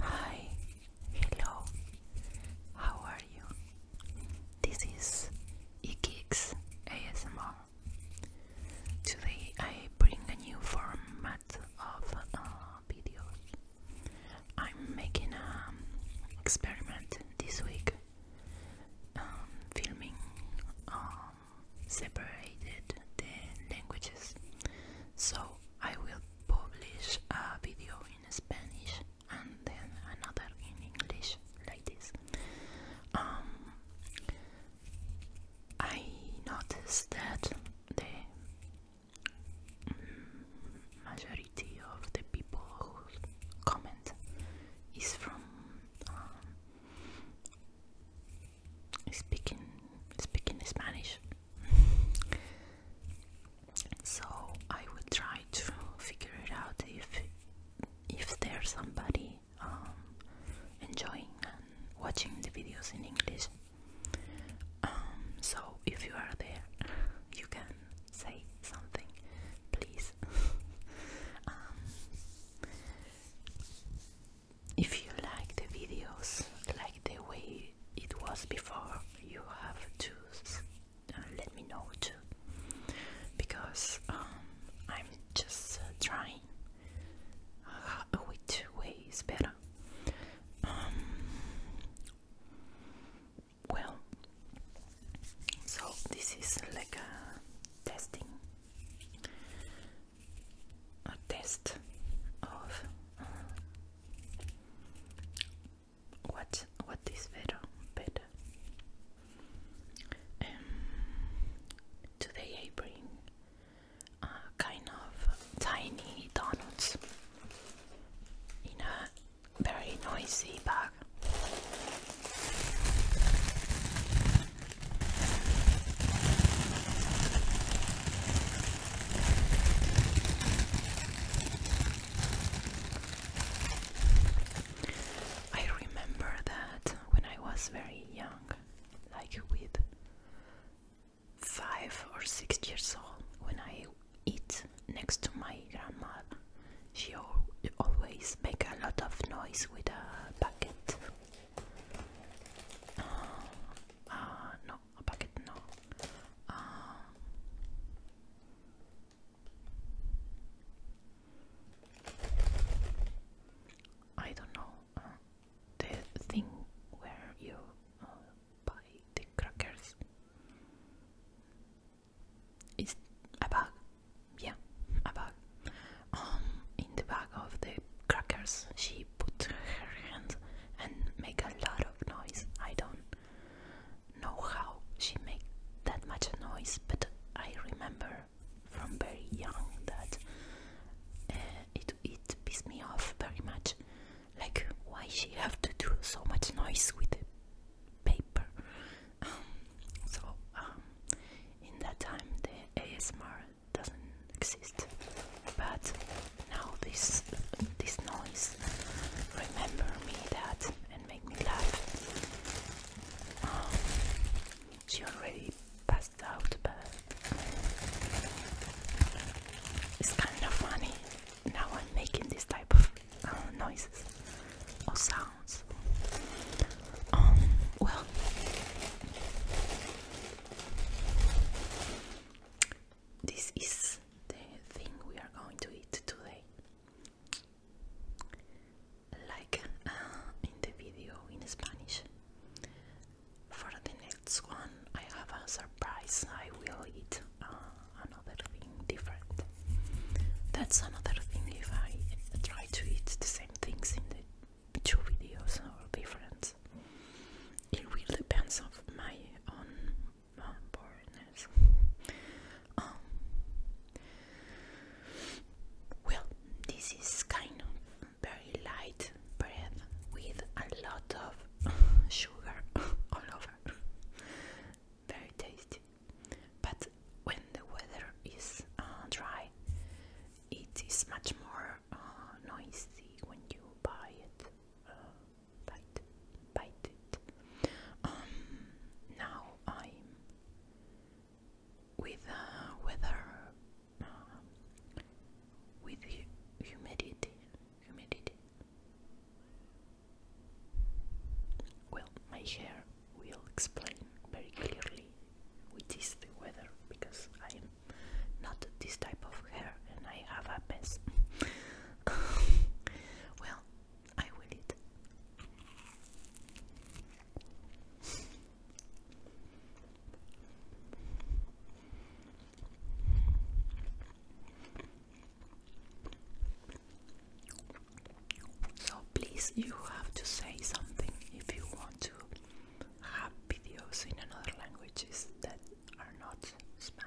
Hi, hello, how are you? This is Ikix ASMR. Today I bring a new format of uh, I'm making an um, experiment this week, um, filming um, separated the languages. So I will publish a video in Spanish and then another in English like this. Um, I noticed that the majority of the people who comment is from um, speaking speaking Spanish. so I will try to figure it out if if there's somebody um, enjoying and watching the videos in English. Um, so if you are there, you can say something, please. Um, if you like the videos like the way it was before, you have to uh, let me know too, because um, I'm just uh, trying uh, which way is better. Um, well, so this is like a testing a test of uh, what what is better better. Um, today I bring a kind of tiny donuts in a very noisy bag. I remember that when I was very young, like with five or six years old, when I eat next to my grandma she always make a lot of noise with a bucket. Ah, ah, no, a bucket, no. Ah. I don't know uh, the thing where you uh, buy the crackers. Is a bag? Yeah, a bag. Um, in the bag of the crackers, she put her hands and make a lot of noise. I don't know how she make that much noise, but I remember from very young that uh, it it pissed me off very much. Like why she have to do so much noise with paper? Um, so um, in that time the ASMR doesn't exist, but now this this noise remember me that and make me laugh. Um, she already passed out, but it's kind of funny. Now I'm making this type of uh, noises or sounds. Um, well, this is the thing we are going to eat today. Like uh, in the video in Spanish. For the next one, I have a surprise. I will eat uh, another thing different. That's another thing. If I try to eat the same things in the two videos or different, it really depends of my own uh, um, well, this is kind of very light bread with a lot of sugar all over. Very tasty. But when the weather is uh, dry, it is much more uh, noisy when you buy it, uh, bite, it. Um, now I'm with weather, with humidity, humidity, well, my hair will explain very clearly which is the weather because I am not this type of hair and I have a mess. well, I will eat. So please, you have to say something if you want to have videos in another languages that are not Spanish.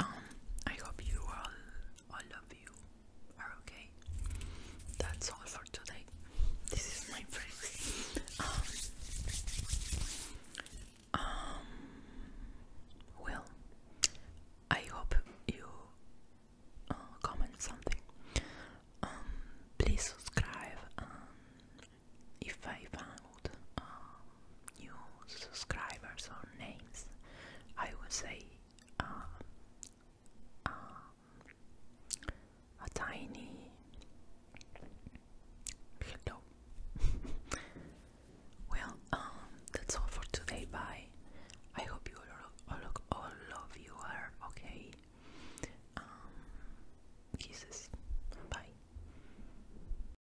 um, I hope you all, all of you are okay. That's all for today. This is my friend. Um, um well, I hope you uh, comment something. Um, please subscribe. Um, if I found um, new subscribers or names, I would say uh, um, a tiny hello. well, um, that's all for today. Bye. I hope you all, love all of you are okay. kisses. Bye.